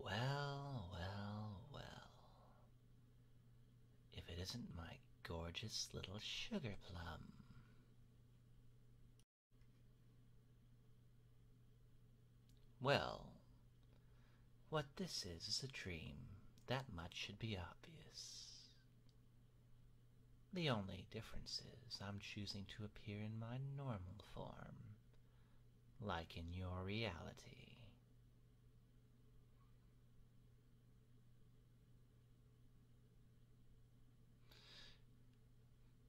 Well, well, well. If it isn't my gorgeous little sugar plum. Well, what this is is a dream. That much should be obvious. The only difference is I'm choosing to appear in my normal form, like in your reality.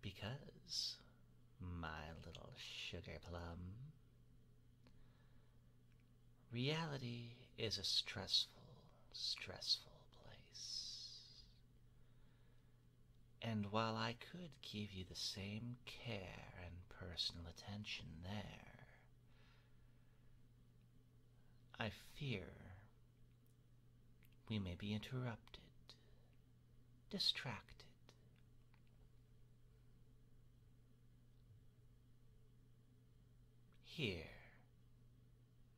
Because, my little sugar plum, Reality is a stressful, stressful place. And while I could give you the same care and personal attention there, I fear we may be interrupted, distracted. Here,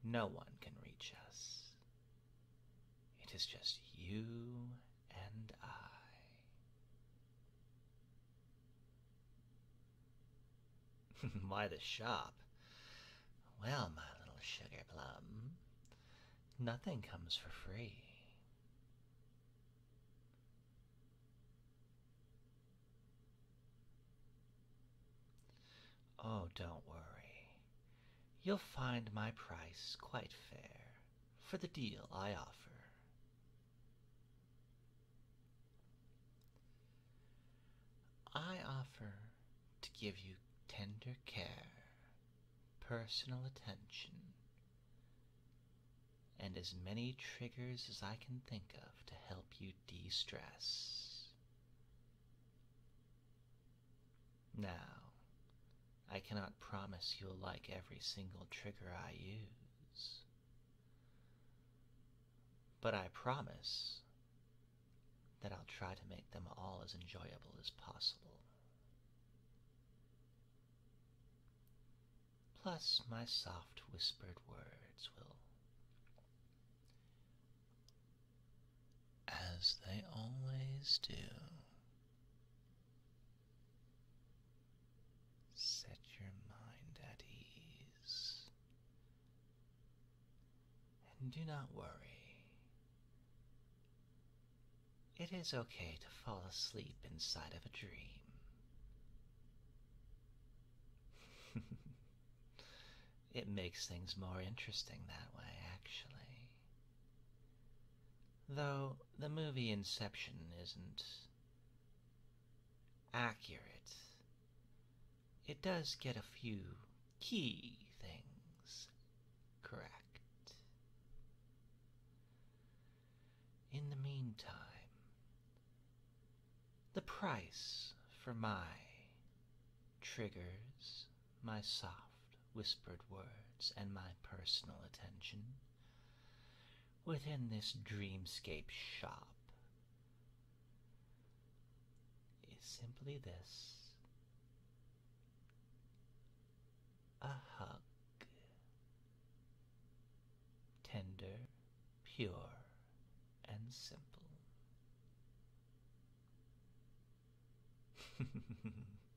no one can reach us. It is just you and I. Why the shop? Well, my little sugar plum, nothing comes for free. Oh, don't worry. You'll find my price quite fair for the deal I offer. I offer to give you tender care, personal attention, and as many triggers as I can think of to help you de stress. Now, I cannot promise you'll like every single trigger I use, but I promise that I'll try to make them all as enjoyable as possible. Plus, my soft whispered words will as they always do. Set your mind at ease and do not worry. It is okay to fall asleep inside of a dream. It makes things more interesting that way, actually. Though the movie Inception isn't accurate, it does get a few key things correct. In the meantime, the price for my triggers, my soft whispered words, and my personal attention within this dreamscape shop is simply this a hug, tender, pure, and simple.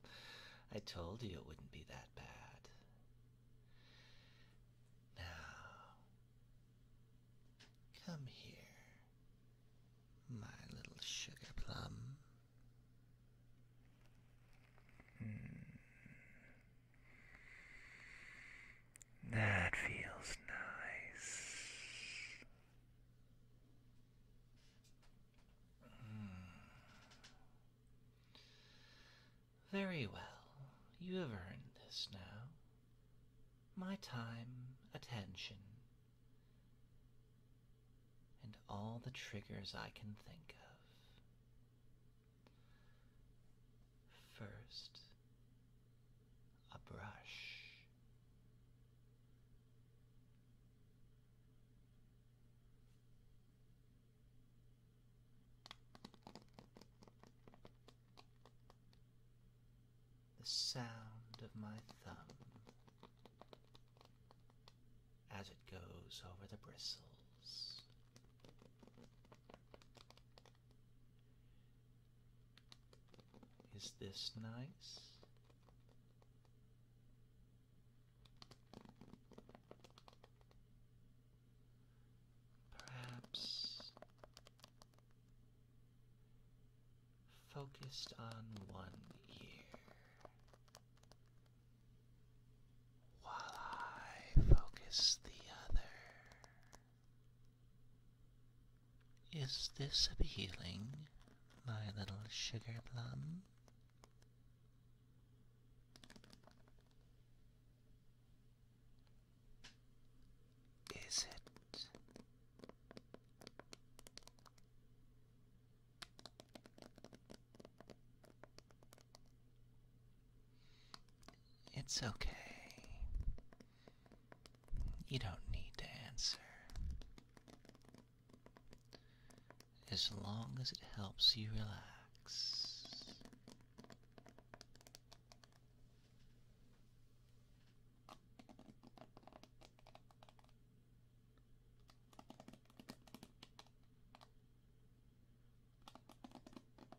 I told you it wouldn't be that bad. Now, come here, my little sugar plum. Hmm. That feels nice. Hmm. Very well. You have earned this now. My time, attention, and all the triggers I can think of. First, a brush. The sound of my thumb as it goes over the bristles. Is this nice? Perhaps focused on one ear while I focus the other. Is this appealing, my little sugar plum? Is it? It's okay. You don't need to answer. As long as it helps you relax.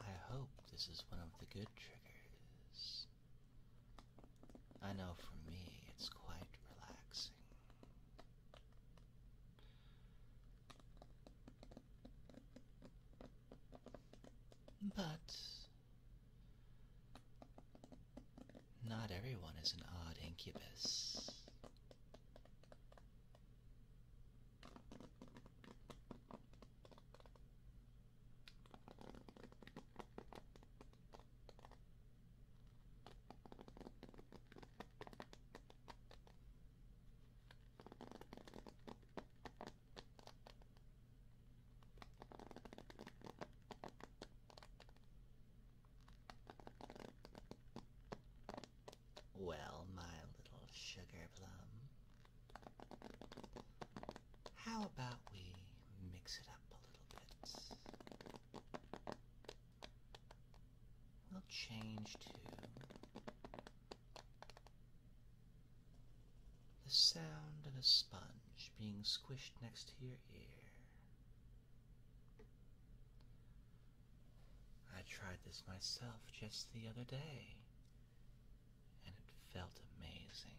I hope this is one of the good triggers. I know for me it's quite relaxing. But not everyone is an odd incubus. Well, my little sugar plum, how about we mix it up a little bit? We'll change to the sound of a sponge being squished next to your ear. I tried this myself just the other day, and it felt amazing.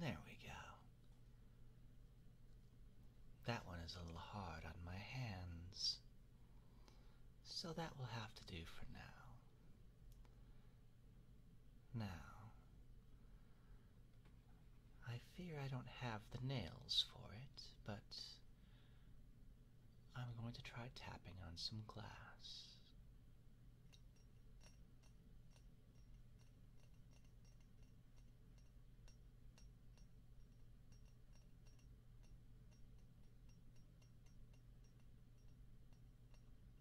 There we go. That one is a little hard on my hands, so that will have to do for now. Now, I fear I don't have the nails for it, but I'm going to try tapping on some glass.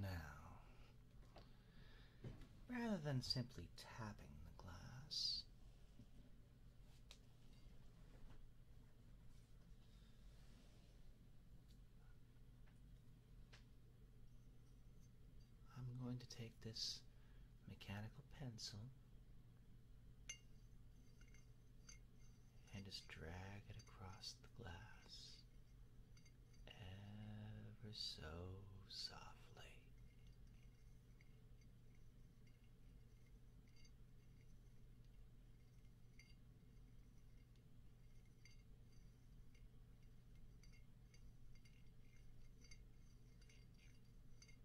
Now, rather than simply tapping the glass, I'm going to take this mechanical pencil and just drag it across the glass ever so softly.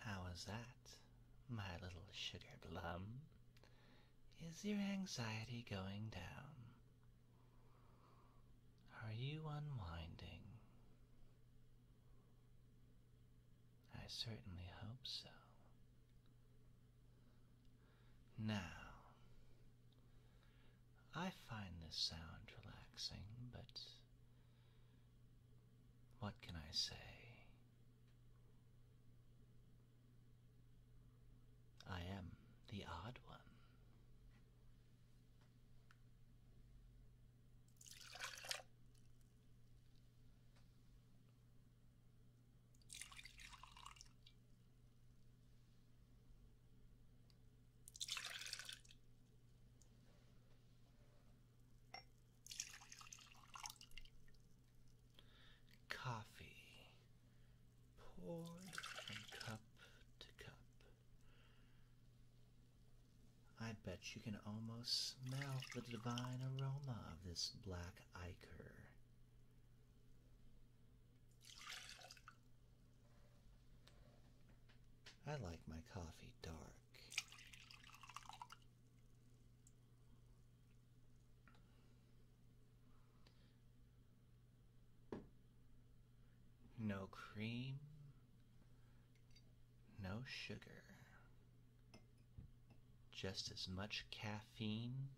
how was that, my little sugar plum? Is your anxiety going down? Are you unwinding? I certainly hope so. Now, I find this sound relaxing, but what can I say? I am the odd one. Coffee poured from cup to cup. I bet you can almost smell the divine aroma of this black ichor. I like my coffee dark. No cream, no sugar, just as much caffeine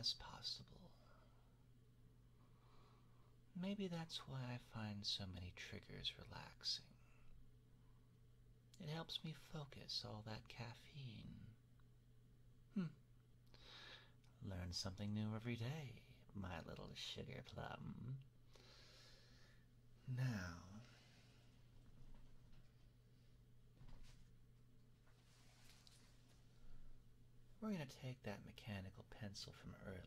as possible. Maybe that's why I find so many triggers relaxing. It helps me focus all that caffeine Hmm. Learn something new every day, my little sugar plum. Now. We're going to take that mechanical pencil from earlier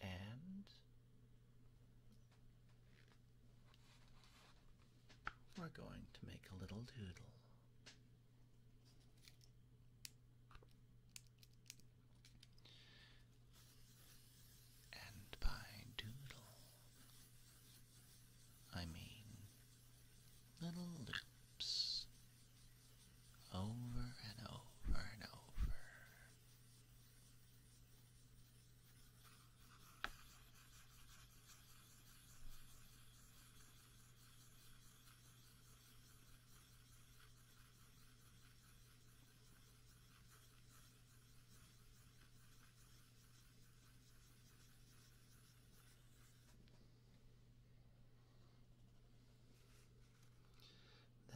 and we're going to make a little doodle. And by doodle, I mean little loops over and over and over.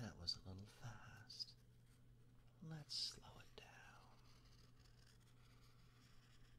That was a little fast. Let's slow it down.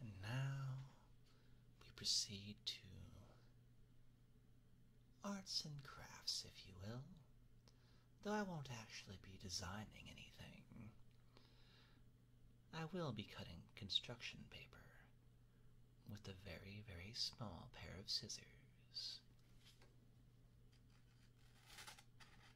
And now we proceed to arts and crafts, if you will. Though I won't actually be designing anything, I will be cutting construction paper with a very, very small pair of scissors.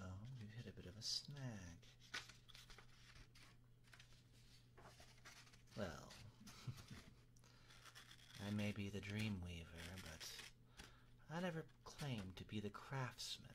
oh we hit a bit of a snag. Well, I may be the dream weaver, but I never Claim to be the craftsman.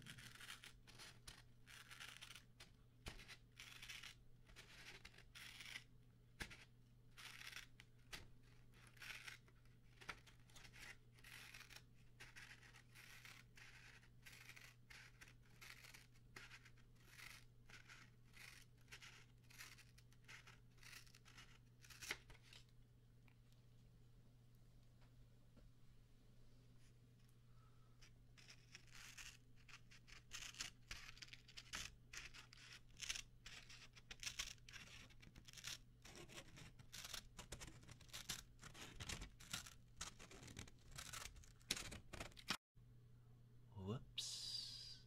Whoops.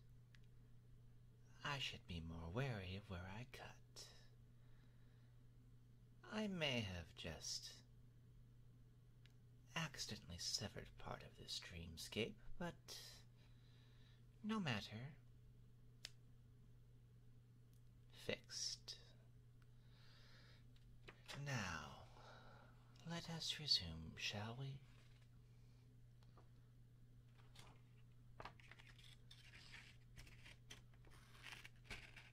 I should be more wary of where I cut. I may have just accidentally severed part of this dreamscape, but no matter. Fixed. Now, let us resume, shall we?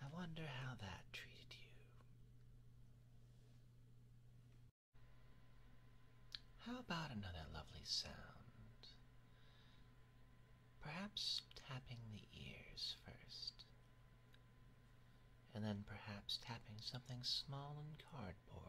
I wonder how that treated you. How about another lovely sound? Perhaps tapping the ears first, and then perhaps tapping something small and cardboard.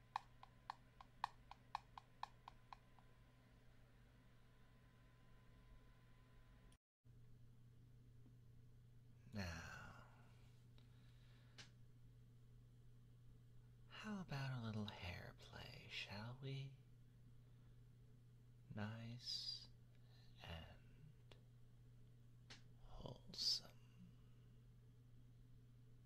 Now, how about a little hair play, shall we? Nice and wholesome.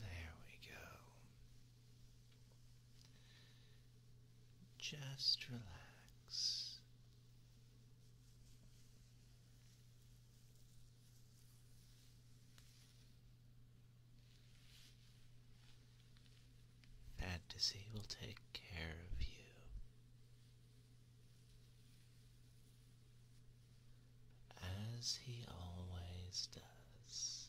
There we go. Just relax. Fantasy will take care of you. As he always does.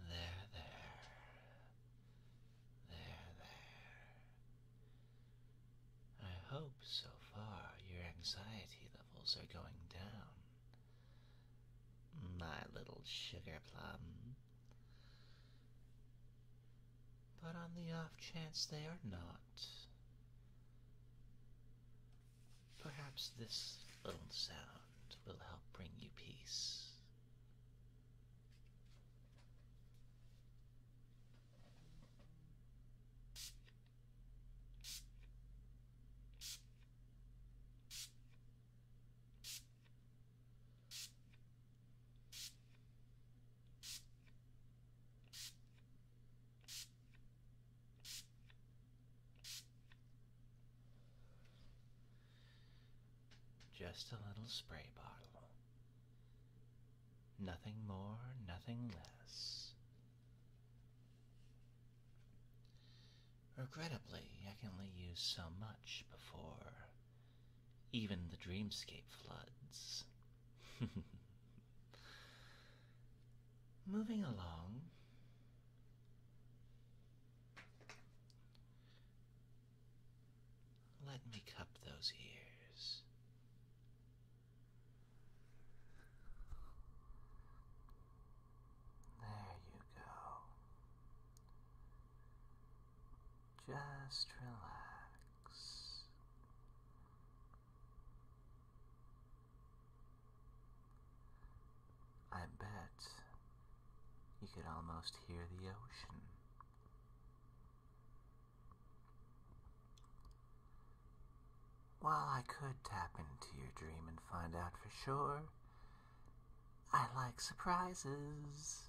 There, there. There, there. I hope so far your anxiety levels are going down my little sugar plum. But on the off chance they are not, perhaps this little sound will help bring you peace. Just a little spray bottle. Nothing more, nothing less. Regrettably, I can only use so much before even the dreamscape floods. Moving along. Let me cup those ears. There you go. Just relax. I bet you could almost hear the ocean. While I could tap into your dream and find out for sure, I like surprises.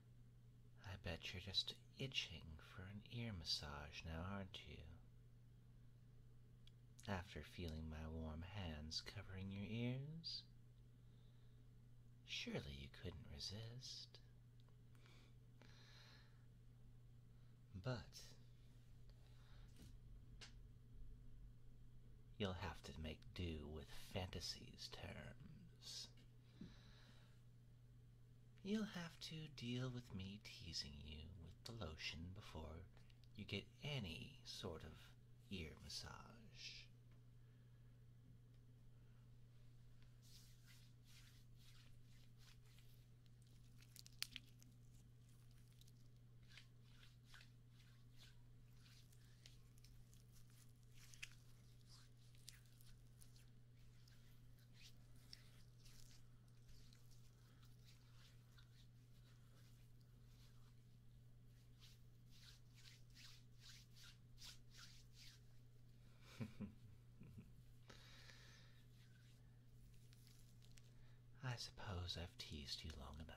I bet you're just itching for an ear massage now, aren't you? After feeling my warm hands covering your ears? Surely you couldn't resist. But you'll have to make do with fantasies, terms. You'll have to deal with me teasing you with the lotion before you get any sort of ear massage. I suppose I've teased you long enough.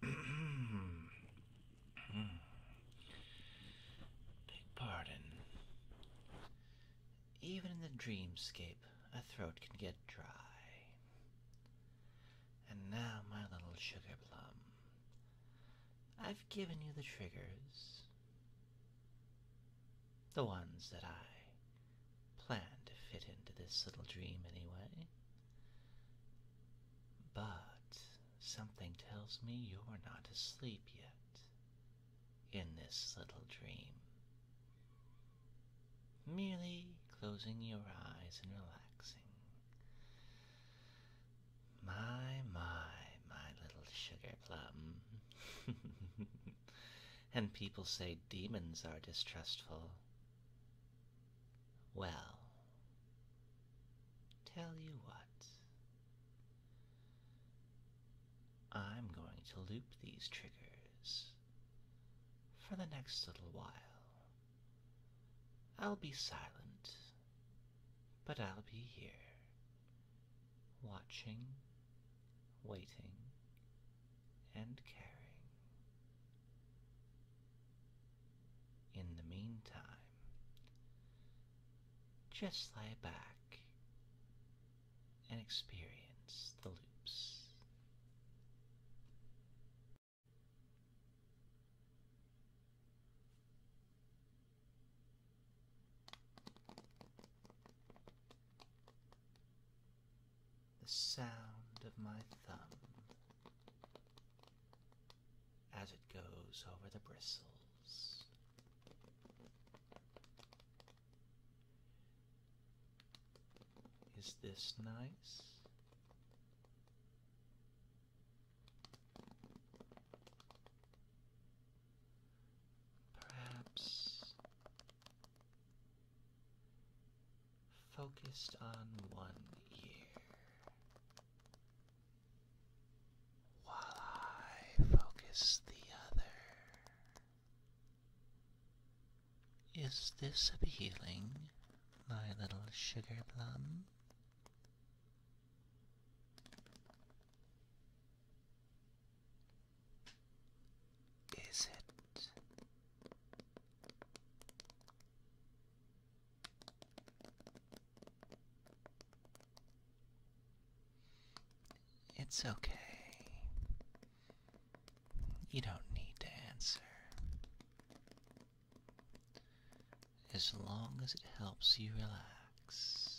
Beg pardon. Even in the dreamscape, a throat can get dry. And now, my little sugar plum, I've given you the triggers. The ones that I plan to fit into this little dream anyway. But something tells me you're not asleep yet in this little dream. Merely closing your eyes and relaxing. My, my, my little sugar plum. and people say demons are distrustful. Well, tell you what. I'm going to loop these triggers for the next little while. I'll be silent, but I'll be here watching, waiting, and caring. In the meantime, just lie back and experience the loops. The sound of my thumb as it goes over the bristles. Is this nice? perhaps focused on one ear while I focus the other. Is this appealing, my little sugar plum? Is it? It's okay. You don't need to answer. As long as it helps you relax.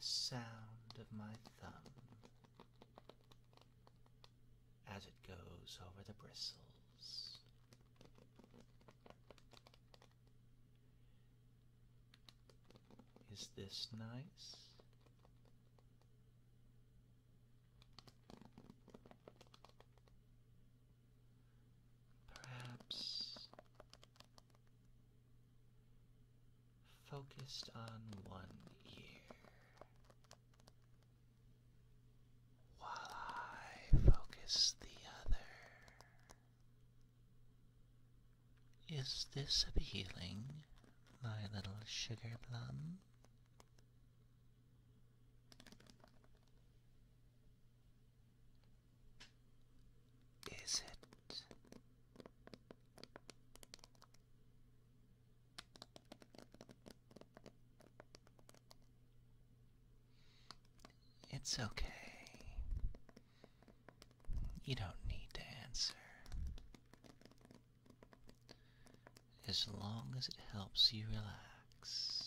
The sound of my thumb as it goes over the bristles. Is this nice? Perhaps focused on one year while I focus the other. Is this appealing, my little sugar plum? Is it? It's okay. You don't need to answer. As long as it helps you relax.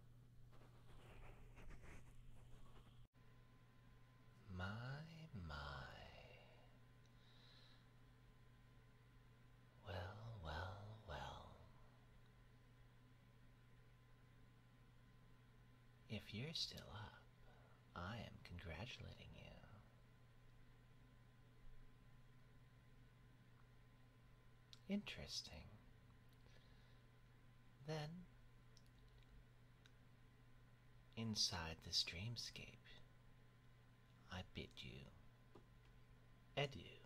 My, my. Well, well, well. If you're still up, I am congratulating you. Interesting. Then, inside this dreamscape, I bid you adieu.